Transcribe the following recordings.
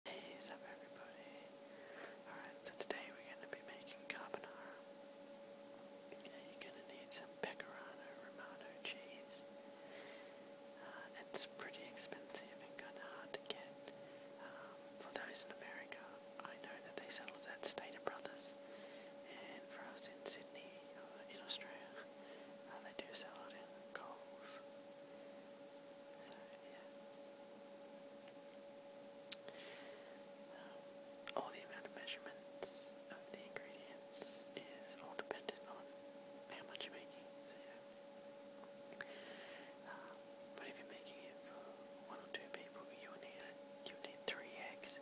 What's up everybody? Alright, so today we're going to be making carbonara. Yeah, you're going to need some pecorano romano cheese. Uh, it's pretty expensive and kind of hard to get. Um, for those in America, I know that they sell it at Stater Brothers. And for us in Sydney, or in Australia, uh, they do sell it in Coles. So, yeah. Um, all the amount of measurements of the ingredients is all dependent on how much you're making. Um, but if you're making it for one or two people, you need you need three eggs,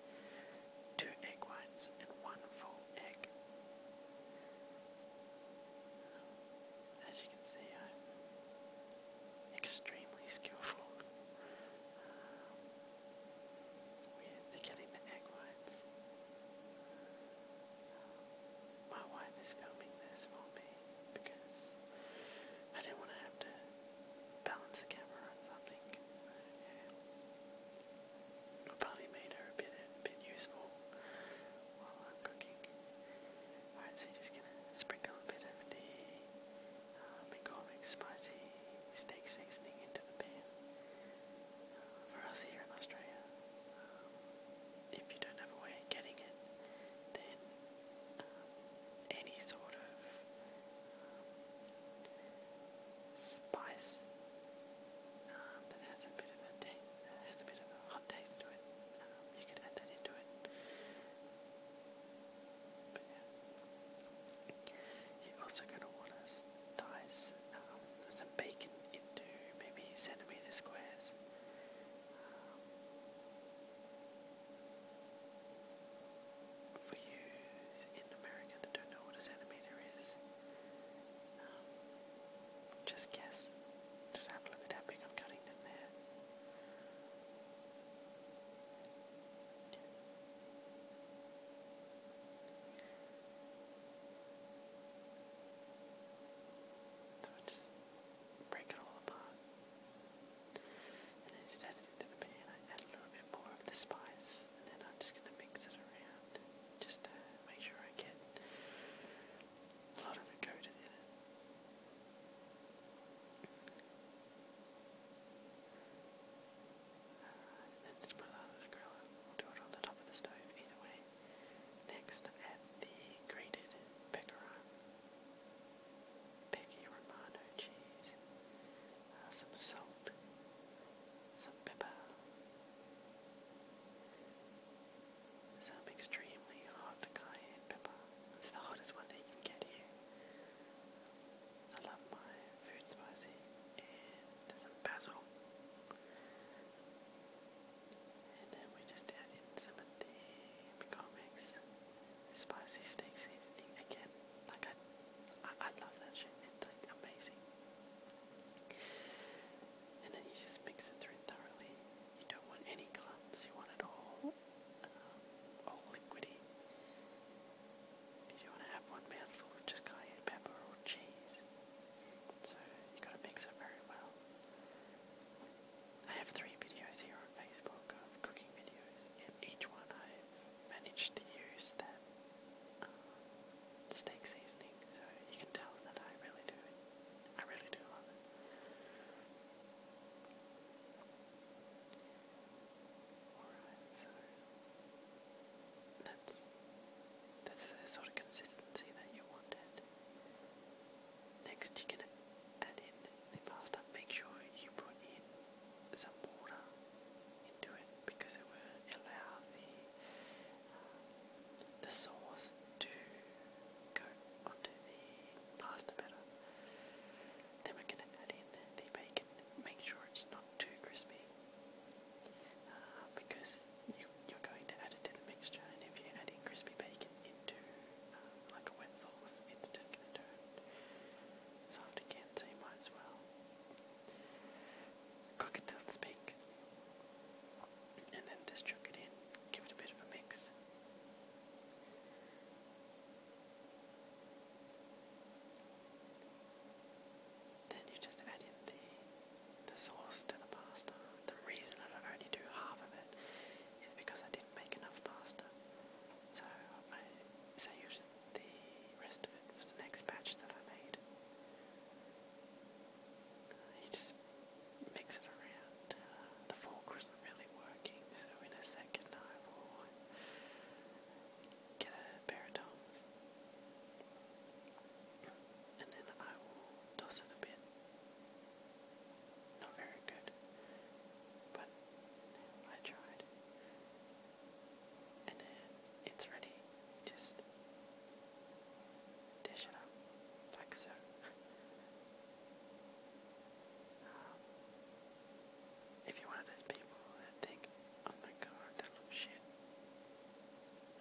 two egg whites, and one full egg. As you can see, I'm extremely skillful. Um, we're getting the egg whites. Um, my wife is filming this for me because I didn't want to have to balance the camera on something. Yeah. It probably made her a bit, a bit useful while I'm cooking. Alright, so you're just gonna sprinkle a bit of the uh, McCormick spicy steak seasoning into the pan. Uh, for us here in Australia, um, if you don't have a way of getting it, then um, any sort of um, spice um, that has a bit of a that has a bit of hot taste to it. Um, you can add that into it. But yeah. You're also going to want to dice um, some bacon into maybe centimetre squares. Um, for you in America that don't know what a centimetre is, um, just guess. Just have a look at how big I'm cutting them there. So I just break it all apart. And then just add it into the pan. I add a little bit more of the spice and then I'm just going to mix it around just to make sure I get a lot put a lot of We'll do it on the top of the stove either way. Next, add the grated pecorino, cheese, uh, some salt, some pepper, it's some extremely hard cayenne pepper. It's the hottest one that you can get here. I love my food spicy and some basil. And then we just add in some of the McCormick's spicy steak seasoning again. Like I, I love that shit. It's like amazing and then you just mix it through thoroughly. You don't want any clumps, you want it all, uh, all liquidy. You don't want to have one mouthful just cayenne pepper or cheese. So you got to mix it very well. I have three videos here on Facebook of cooking videos, and each one I've managed to use that steak seasoning, so you can tell that I really do. I really do love it. that's that's the sort of consistency that you wanted. Next, you're gonna add in the pasta. Make sure you put in some water into it because it will allow the the sauce to go onto the pasta better. Then we're going to add in the bacon, make sure it's not too crispy uh, because you, are going to add it to the mixture and if you're adding crispy bacon into uh, like a wet sauce, it's just going to turn soft again so you might as well Cook it till it's pink, and then just chuck it in. Give it a bit of a mix. Then you just add in the sauce to the pasta. The reason I only do half of it is because I didn't make enough pasta. So I saved the rest of it for the next batch that I made. He just makes around. Uh, the fork wasn't really working, so in a second I will get a pair And then I will toss it a bit. Not very good, but I tried and then it's ready. You just dish it up like so. Um, if you're one of those people that think, "Oh my god, that looks shit,"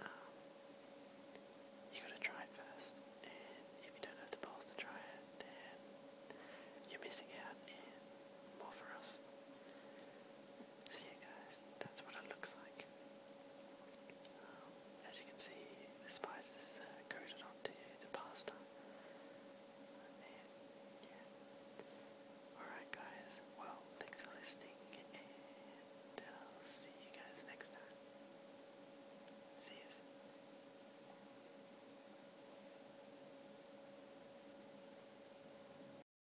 um, you gotta try it first. And if you don't have the balls to try it, then you're missing out and more for us. So yeah guys, that's what it looks like. Um, as you can see, the spices is uh, coated onto the pasta. Alright guys, well, thanks for listening and i see you guys next time. See you.